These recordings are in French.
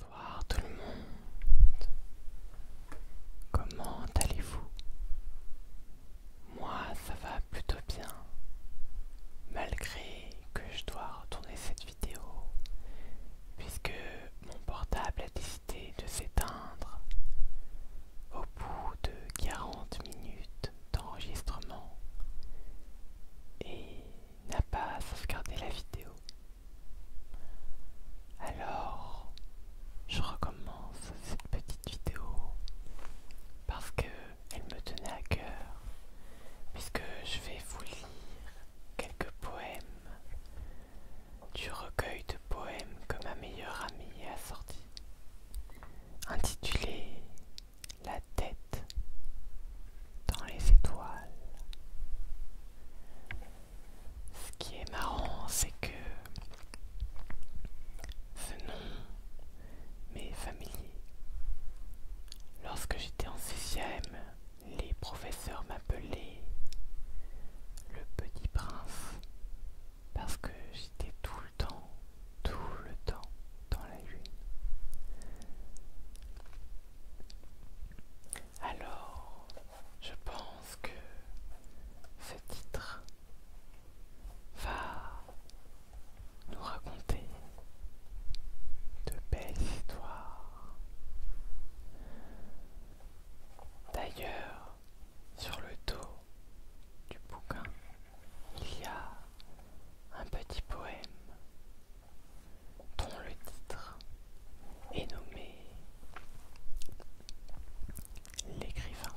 Bonsoir tout le monde. Comment allez-vous Moi ça va plutôt bien. Malgré que je dois retourner cette vidéo puisque mon portable a décidé de s'éteindre au bout de 40 minutes d'enregistrement et n'a pas sauvegardé la vidéo. Alors, je recommence cette petite vidéo parce que me tenait à cœur, puisque je vais vous lire quelques poèmes du recueil de poèmes que ma meilleure amie a sorti, intitulé La tête dans les étoiles. Ce qui est marrant, c'est que ce nom m'est familier. Lorsque j'étais en sixième, les professeurs m'appelaient le petit prince parce que j'étais tout le temps, tout le temps dans la lune. Alors, je pense que ce titre va nous raconter de belles histoires. D'ailleurs, sur le dos du bouquin, il y a un petit poème dont le titre est nommé L'écrivain.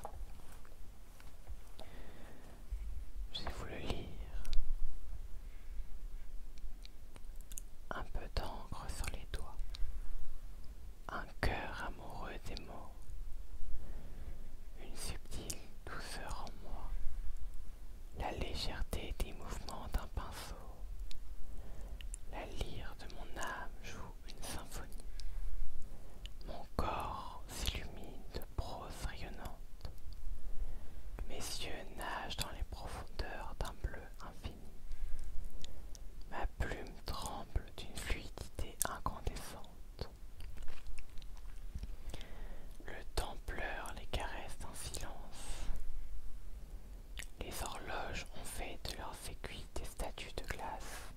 Je vais vous le lire. Un peu d'encre sur les doigts, un cœur amoureux des mots, une subtile douceur en moi, la légèreté des mouvements d'un pinceau. La lyre de mon âme joue une symphonie. Mon corps s'illumine de prose rayonnante. Mes yeux nagent dans les profondeurs d'un bleu infini. Ma plume tremble d'une fluidité incandescente. Le temps pleure, les caresses en silence. Les horloges ont fait de leurs aiguilles des statues de glace.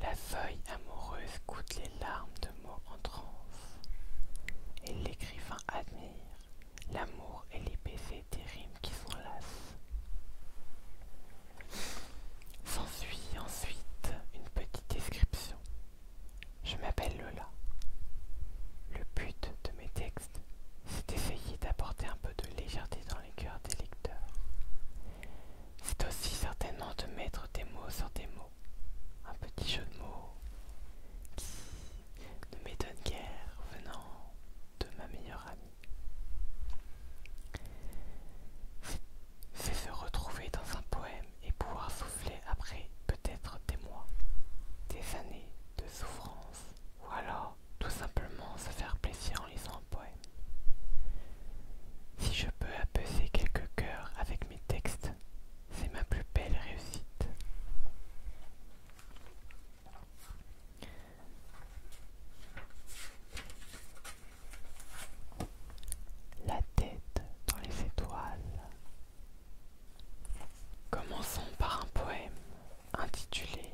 La feuille amoureuse goûte les larmes de mots en transe. Et l'écrivain admire l'amour et les baisers des rimes qui s'enlacent. S'ensuit ensuite une petite description je m'appelle Lola. Le but de mes textes, c'est d'essayer d'apporter un peu de légèreté dans les cœurs des lecteurs. C'est aussi certainement de mettre des mots sur des mots, un petit jeu de mots qui ne m'étonne guère venant de ma meilleure amie. C'est se retrouver dans un poème et pouvoir souffler après être des mois, des années de souffrance, ou alors tout simplement se faire plaisir en lisant un poème. Si je peux apaiser quelques cœurs avec mes textes, c'est ma plus belle réussite la tête dans les étoiles. Commençons par un poème intitulé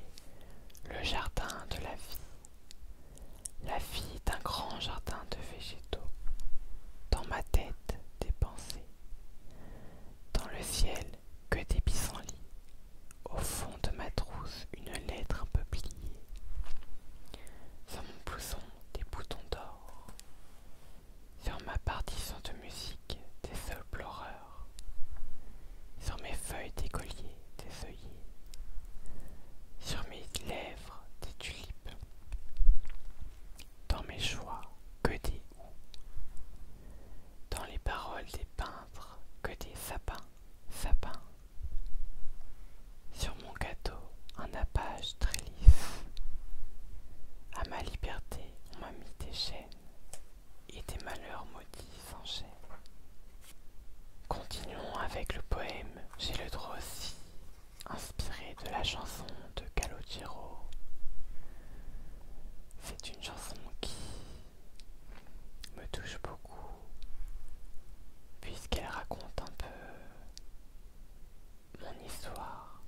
Le jardin de la vie. La vie d'un grand jardin de végétaux. Dans ma tête, des pensées. Dans le ciel, que des pissenlits. Au fond de ma trousse, une lettre un peu pliée. Sur mon des boutons d'or. Sur ma partition de musique, des sols pleureurs. Sur mes feuilles des colliers des œillets. Sur mes lèvres, des tulipes. Dans mes joies, que des ou, Dans les paroles des peintres, que des sapins, sapins. Sur mon gâteau, un nappage très lisse. À ma liberté, on m'a mis des chaînes, et des malheurs maudits s'enchaînent. Continuons avec le poème, j'ai le droit aussi, inspiré de la chanson de Calogero. C'est une chanson qui me touche beaucoup puisqu'elle raconte un peu mon histoire,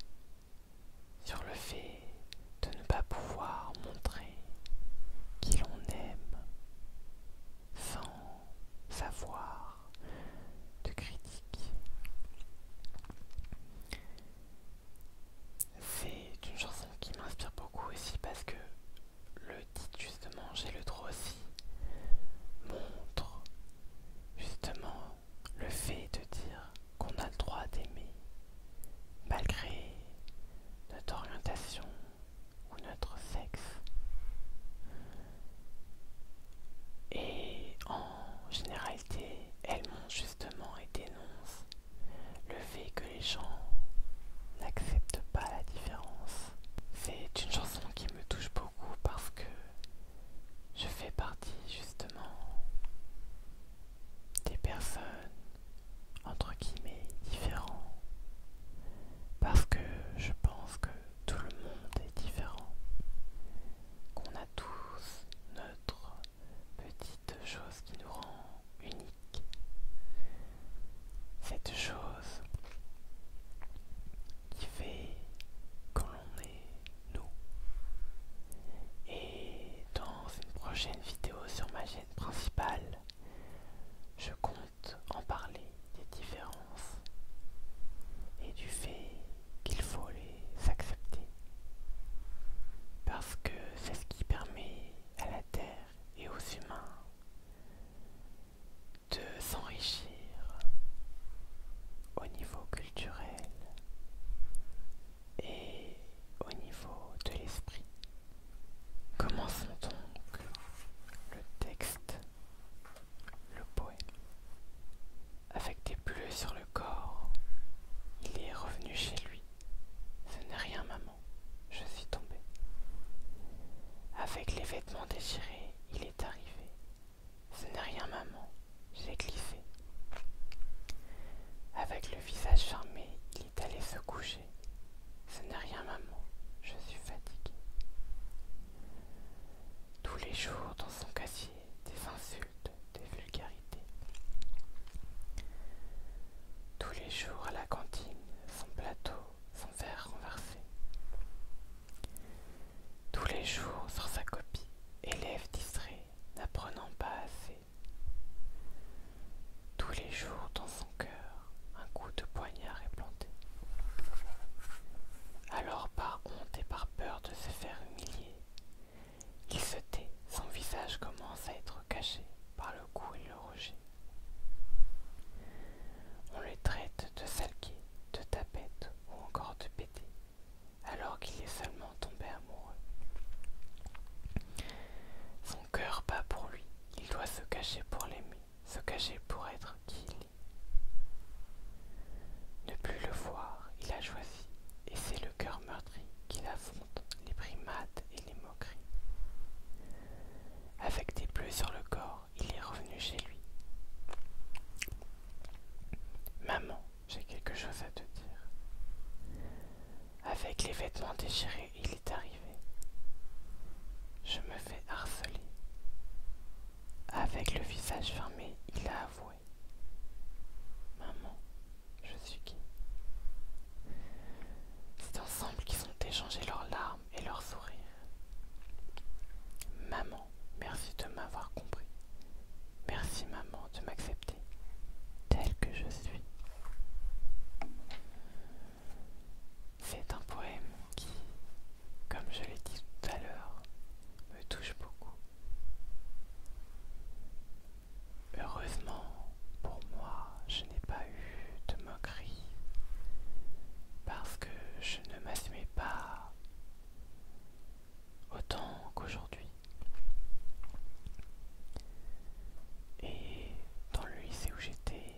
sur le fait de ne pas pouvoir montrer qui l'on aime sans savoir de critique. C'est une chanson qui m'inspire beaucoup aussi parce que le titre justement j'ai le droit aussi montre justement le fait de dire qu'on a le droit d'aimer malgré notre orientation ou notre sexe. Et en généralité, elle montre justement et dénonce le fait que les gens n'acceptent pas la différence. C'est une chanson qui me touche beaucoup parce que je fais partie justement des personnes entre guillemets différents parce que je pense que tout le monde est différent qu'on a tous notre petite chose qui nous rend unique cette chose qui fait que l'on est nous. Et dans une prochaine vidéo sur ma chaîne principale, je compte en parler des différences et du fait qu'il faut les accepter. Parce que c'est ce qui permet à la Terre et aux humains de s'enrichir au niveau culturel et au niveau de l'esprit. Commençons donc le texte, le poème. Avec des bleus sur le corps, il est revenu chez lui. Ce n'est rien, maman, je suis tombé. Avec les vêtements déchirés, il est arrivé ce n'est rien, maman, j'ai glissé. Avec le visage charmé, il est allé se coucher. Ce n'est rien, maman, je suis fatigué Tous les jours, dans son casier, des insultes, des vulgarités. Tous les jours à la cantine, son plateau, son verre renversé. Tous les jours sur sa copie, élève distrait, n'apprenant pas assez. Tous les jours dans son cœur, un coup de poignard est planté. Alors par honte et par peur de se faire humilier, il se tait, son visage commence à être caché par le cou et le rejet. On le traite de salgué, de tapette ou encore de péter, alors qu'il est seulement tombé amoureux. Son cœur bat pour lui, il doit se cacher pour l'aimer, se cacher pour être qui il est. Ne plus le voir, il a choisi, et c'est le cœur meurtri qui l'affronte, les primates et les moqueries. Avec des bleus sur le corps, il est revenu chez lui. Maman, j'ai quelque chose à te dire. Avec les vêtements déchirés, il est arrivé. Je me fais harceler. Avec le visage fermé, il a avoué. Maman, je suis qui C'est ensemble qu'ils ont échangé leurs larmes et leur sourire. Maman, merci de m'avoir compris. Merci maman de m'accepter tel que je suis. C'est un poème qui, comme je l'ai dit tout à l'heure, me touche beaucoup. Heureusement pour moi, je n'ai pas eu de parce que je ne m'assumais pas autant qu'aujourd'hui. Et dans le lycée où j'étais,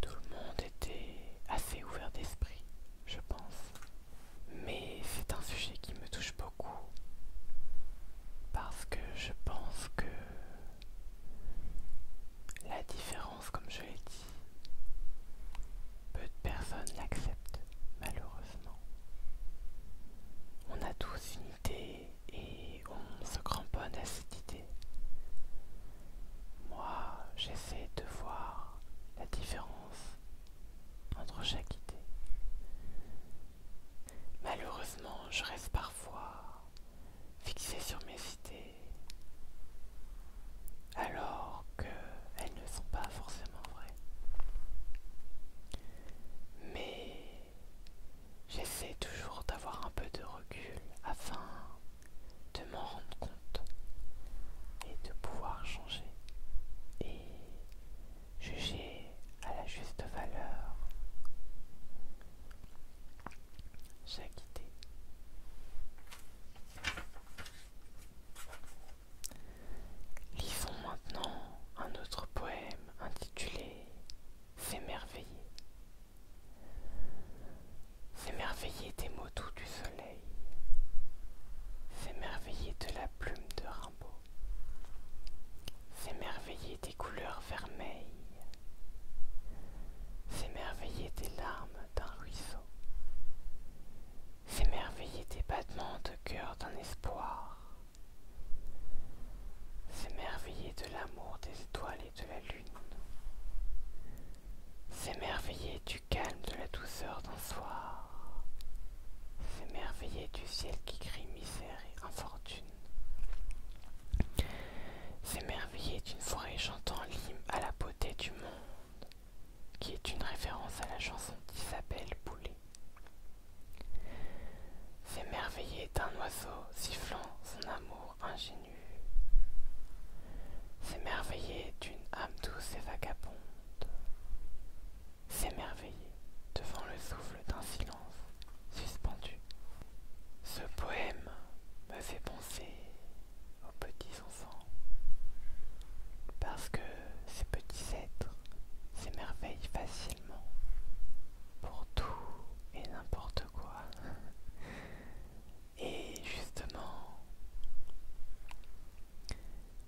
tout le monde était assez ouvert d'esprit, je pense. Mais c'est un sujet qui me touche beaucoup parce que je pense que la différence comme je l'ai dit. Peu de personnes l'acceptent, malheureusement. On a tous une idée et on se cramponne à cette idée. Moi, j'essaie de voir la différence entre chaque idée. Malheureusement, je reste parfois fixé sur mes idées alors qu'elles ne sont pas forcément vraies. Mais j'essaie toujours d'avoir un peu de recul afin de m'en rendre compte et de pouvoir changer et juger à la juste valeur quitté. Lisons maintenant un autre poème intitulé S'émerveiller. S'émerveiller des mots doux du soleil. S'émerveiller de la plume de Rimbaud. S'émerveiller des couleurs vermeilles s'émerveiller des larmes d'un ruisseau, s'émerveiller des battements de cœur d'un espoir, s'émerveiller de l'amour des étoiles et de la lune, s'émerveiller du calme de la douceur d'un soir, s'émerveiller du ciel qui crie misère et infortune. S'émerveiller d'une forêt chantant l'hymne à la beauté du monde, qui est une référence à la chanson d'Isabelle Boulet S'émerveiller d'un oiseau sifflant son amour ingénu. S'émerveiller d'une âme douce et vagabonde. S'émerveiller devant le souffle d'un silence suspendu. Ce poème me fait penser aux petits enfants, parce que ces petits êtres s'émerveillent facilement pour tout et n'importe quoi. Et justement,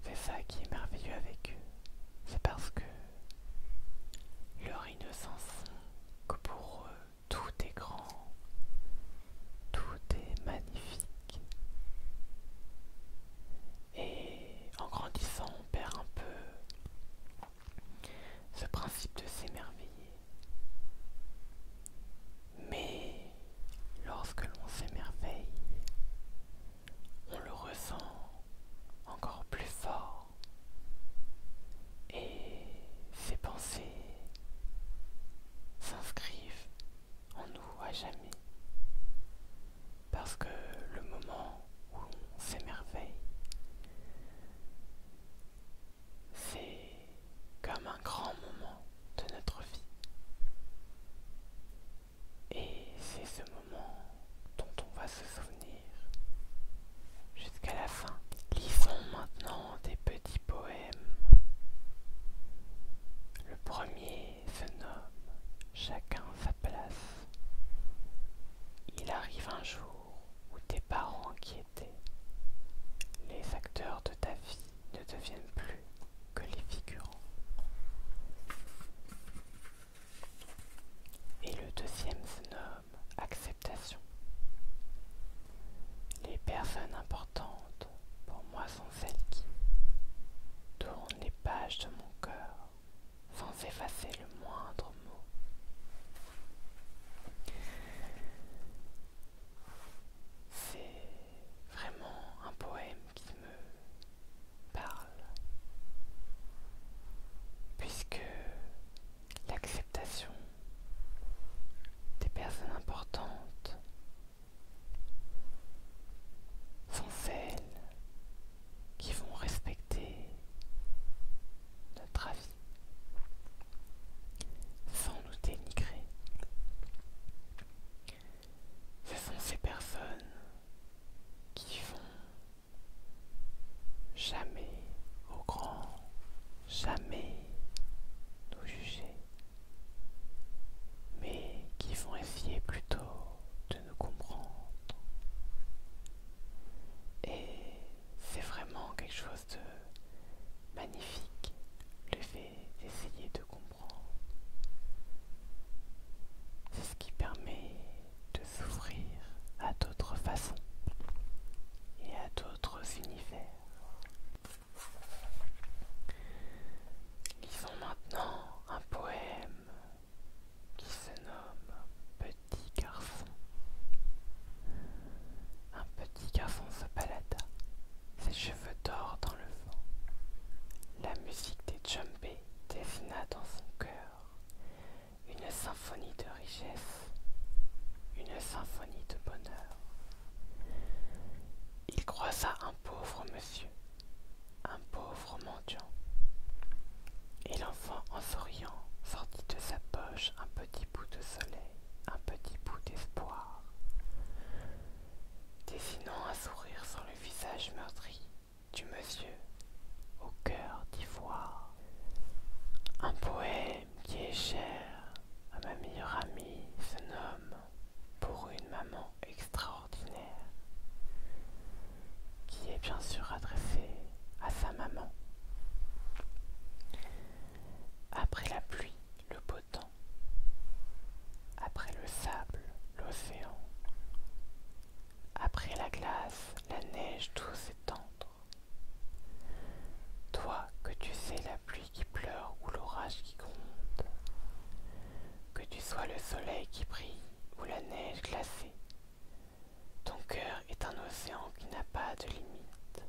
c'est ça qui est merveilleux avec eux. C'est parce que leur innocence, que pour eux, tout est grand, tout est magnifique. Et en grandissant, on perd un peu ce principe de s'émerveiller. Mais lorsque l'on s'émerveille, on le ressent encore plus fort et ces pensées s'inscrivent en nous à jamais parce que le moment où on s'émerveille c'est comme un grand moment de notre vie et c'est ce moment dont on va souvenir. Jusqu'à la fin. Lisons maintenant des petits poèmes. Le premier se nomme Chacun sa place. Il arrive un jour où tes parents qui les acteurs de ta vie ne deviennent plus que les figurants. Et le deuxième se nomme acceptation. Les personnes importantes pour moi sont celles qui tournent les pages de mon cœur sans effacer le moindre mot. C'est vraiment un poème qui me parle, puisque l'acceptation des personnes importantes. Sont celles qui vont respecter notre avis sans nous dénigrer. Ce sont ces personnes qui vont Jamais, au grand, jamais nous juger, mais qui vont essayer plutôt de nous comprendre. Et c'est vraiment quelque chose de magnifique, le fait d'essayer de comprendre. C'est ce qui permet de s'ouvrir à d'autres façons et à d'autres univers. Lisons maintenant un poème qui se nomme Petit garçon. Un petit garçon se balada, ses cheveux d'or dans le vent. La musique des djembés dessina dans son cœur une symphonie de richesse, une symphonie de bonheur. Il croisa un pauvre monsieur, un pauvre mendiant, et l'enfant en souriant sortit de sa poche un petit bout de soleil, un petit bout d'espoir, dessinant un sourire sur le visage meurtri du monsieur au cœur d'ivoire. Un poème qui est cher à ma meilleure amie se nomme Pour une maman extraordinaire, qui est bien sûr adressé à sa maman. Après la pluie, le beau temps. Après le sable, l'océan. Après la glace, la neige douce et tendre. Toi que tu sais la pluie qui pleure ou l'orage qui gronde, que tu sois le soleil qui brille ou la neige glacée, ton cœur est un océan qui n'a pas de limite.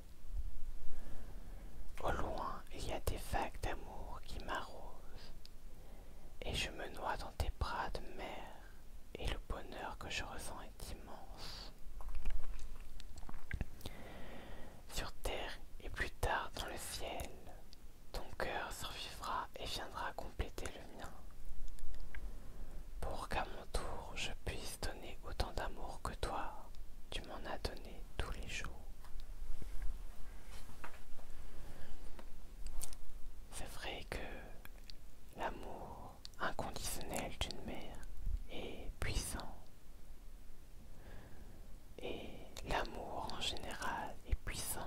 Au loin, il y a des vagues d'amour qui m'arrosent, et je me noie dans tes bras de mer et le bonheur que je ressens est immense. Sur terre et plus tard dans le ciel, ton cœur survivra et viendra compléter le mien. Pour qu'à mon tour je puisse donner autant d'amour que toi, tu m'en as donné tous les jours. C'est vrai que l'amour inconditionnel d'une mère est puissant. Et l'amour en général est puissant.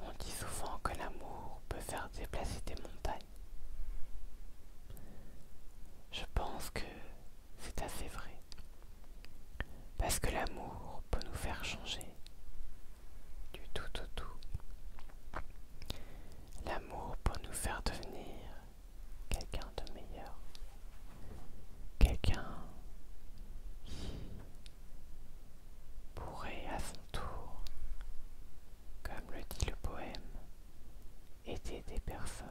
On dit souvent que l'amour peut faire déplacer des montagnes. Je pense que c'est assez vrai. Parce que l'amour peut nous faire changer du tout au tout. L'amour peut nous faire devenir quelqu'un de meilleur. Quelqu'un qui pourrait à son tour, comme le dit le poème, aider des personnes.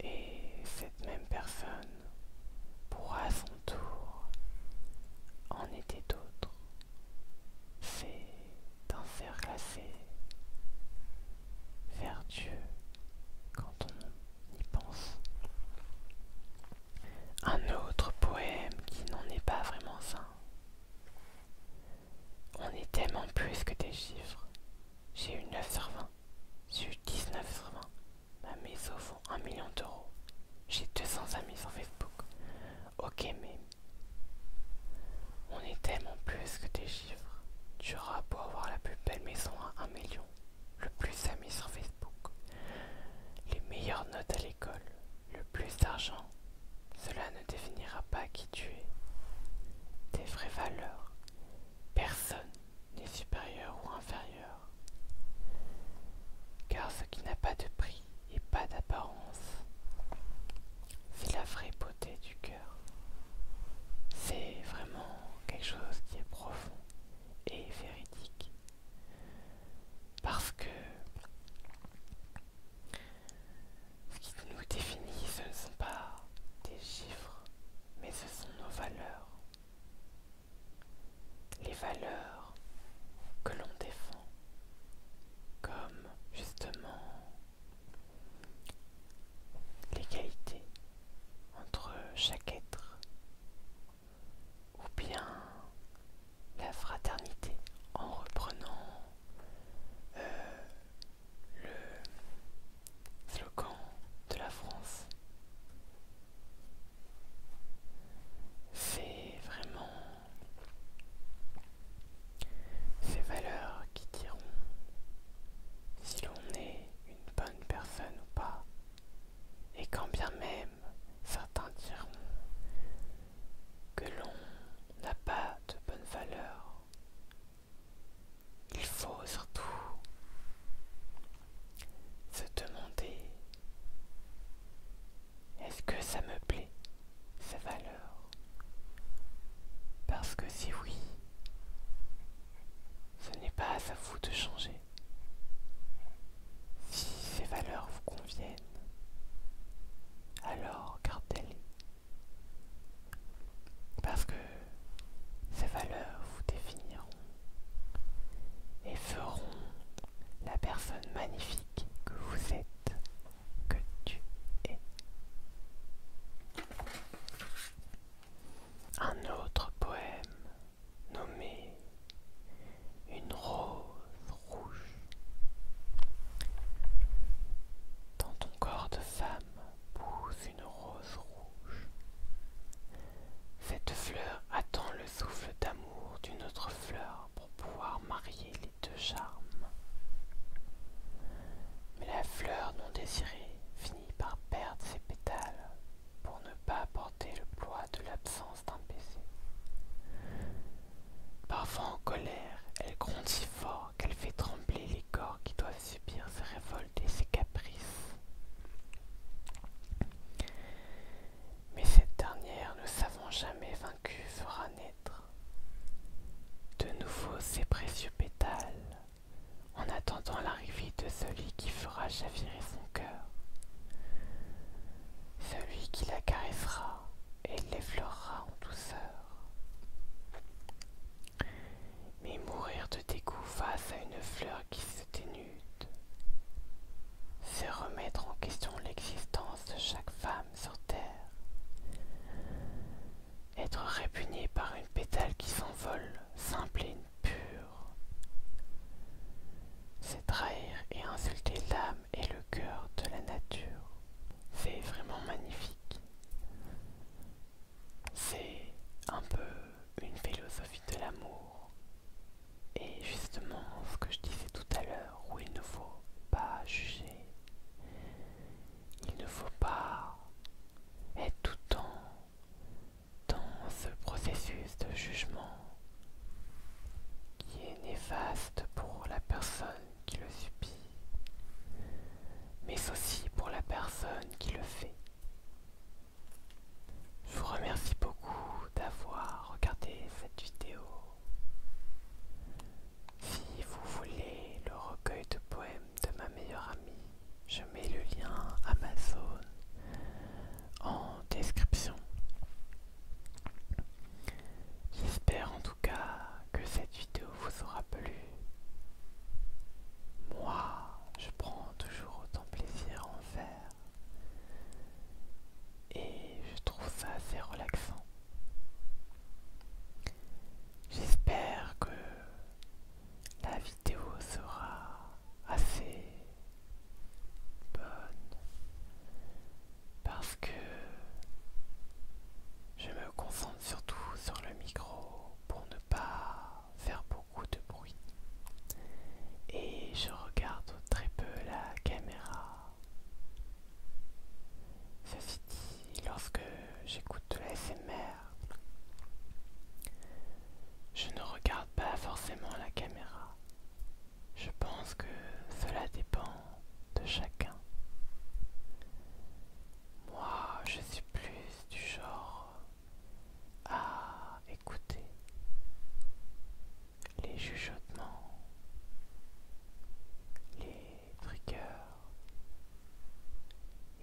Et cette même personne pour à son tour en aider d'autres. C'est un cercle assez vers Dieu quand on y pense. Un autre poème qui n'en est pas vraiment sain On est tellement plus que des chiffres. J'ai eu 9 sur 20. J'ai eu 19 sur 20. Ma maison vaut 1 million d'euros. J'ai 200 amis sur Facebook. Ok, mais. On est tellement plus que des chiffres. Tu auras beau avoir la plus belle maison à 1 million, le plus d'amis sur Facebook, les meilleures notes à l'école, le plus d'argent. Cela ne définira pas qui tu es, tes vraies valeurs. Personne n'est supérieur ou inférieur car ce qui n'a pas de prix et pas d'apparence, c'est la vraie beauté du cœur. C'est vraiment quelque chose qui est profond et véridique. Parce que ce qui nous définit, ce ne sont pas des chiffres, mais ce sont nos valeurs, les valeurs que l'on défend, comme justement l'égalité entre chaque être, ou bien la fraternité en reprenant euh, le slogan de la France. C'est vraiment ces valeurs qui diront si l'on est une bonne personne ou pas. Et quand bien même certains diront que l'on n'a pas de bonnes valeurs, il faut surtout se demander est-ce que ça me plaît, ces valeurs Parce que si oui, ce n'est pas à vous de changer. Si ces valeurs vous conviennent, alors gardez-les. Parce que ces valeurs vous définiront et feront la personne magnifique que vous êtes, que tu es. Un autre poème nommé Une rose rouge. Dans ton corps de femme pousse une rose rouge. Cette fleur attend le souffle d'amour d'une autre fleur pour pouvoir marier les deux charmes. Mais la fleur non désirée finit par perdre ses pétales pour ne pas porter le poids de l'absence d'un baiser. Parfois en colère, elle gronde si fort qu'elle fait trembler les corps qui doivent subir ses révoltes et ses caprices. Mais cette dernière, ne savons jamais vaincue, fera naître de nouveau ses précieux pétales, en attendant l'arrivée de celui qui fera chavirer son cœur, celui qui la caressera et l'effleurera en douceur mais mourir de dégoût face à une fleur qui se dénude, C'est remettre en question l'existence de chaque femme sur Terre. Être répugné par une pétale qui s'envole, simple et pure. C'est trahir et insulter l'âme et le cœur de la nature. C'est vraiment magnifique. C'est un peu une philosophie de l'amour. Et justement, ce que je disais tout à l'heure, où il ne faut pas juger, il ne faut pas être tout le temps dans ce processus de jugement qui est néfaste pour la personne qui le subit mais aussi pour la personne qui le fait. Je vous remercie beaucoup d'avoir regardé cette vidéo. Si vous voulez le recueil de poèmes de ma meilleure amie, je mets le lien Amazon en description. J'espère en tout cas que cette vidéo vous aura plu. Moi, je prends toujours autant plaisir en faire. Et je trouve ça assez relaxant. J'espère que la vidéo sera assez bonne parce que je me concentre surtout sur le micro pour ne pas faire beaucoup de bruit. Et je regarde très peu la caméra. Ceci dit, lorsque j'écoute de je ne regarde pas forcément la caméra. Je pense que cela dépend de chacun. Moi, je suis plus du genre à écouter les chuchotements, les triggers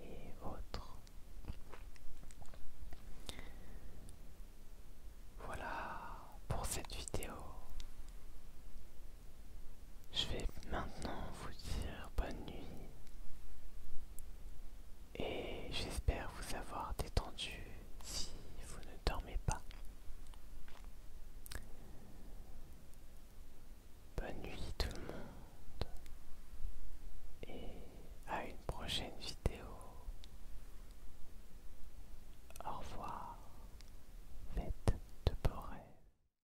et autres. Voilà pour cette vidéo. Je vais maintenant vous dire bonne nuit et j'espère vous avoir détendu si vous ne dormez pas. Bonne nuit tout le monde et à une prochaine vidéo. Au revoir. Faites de beaux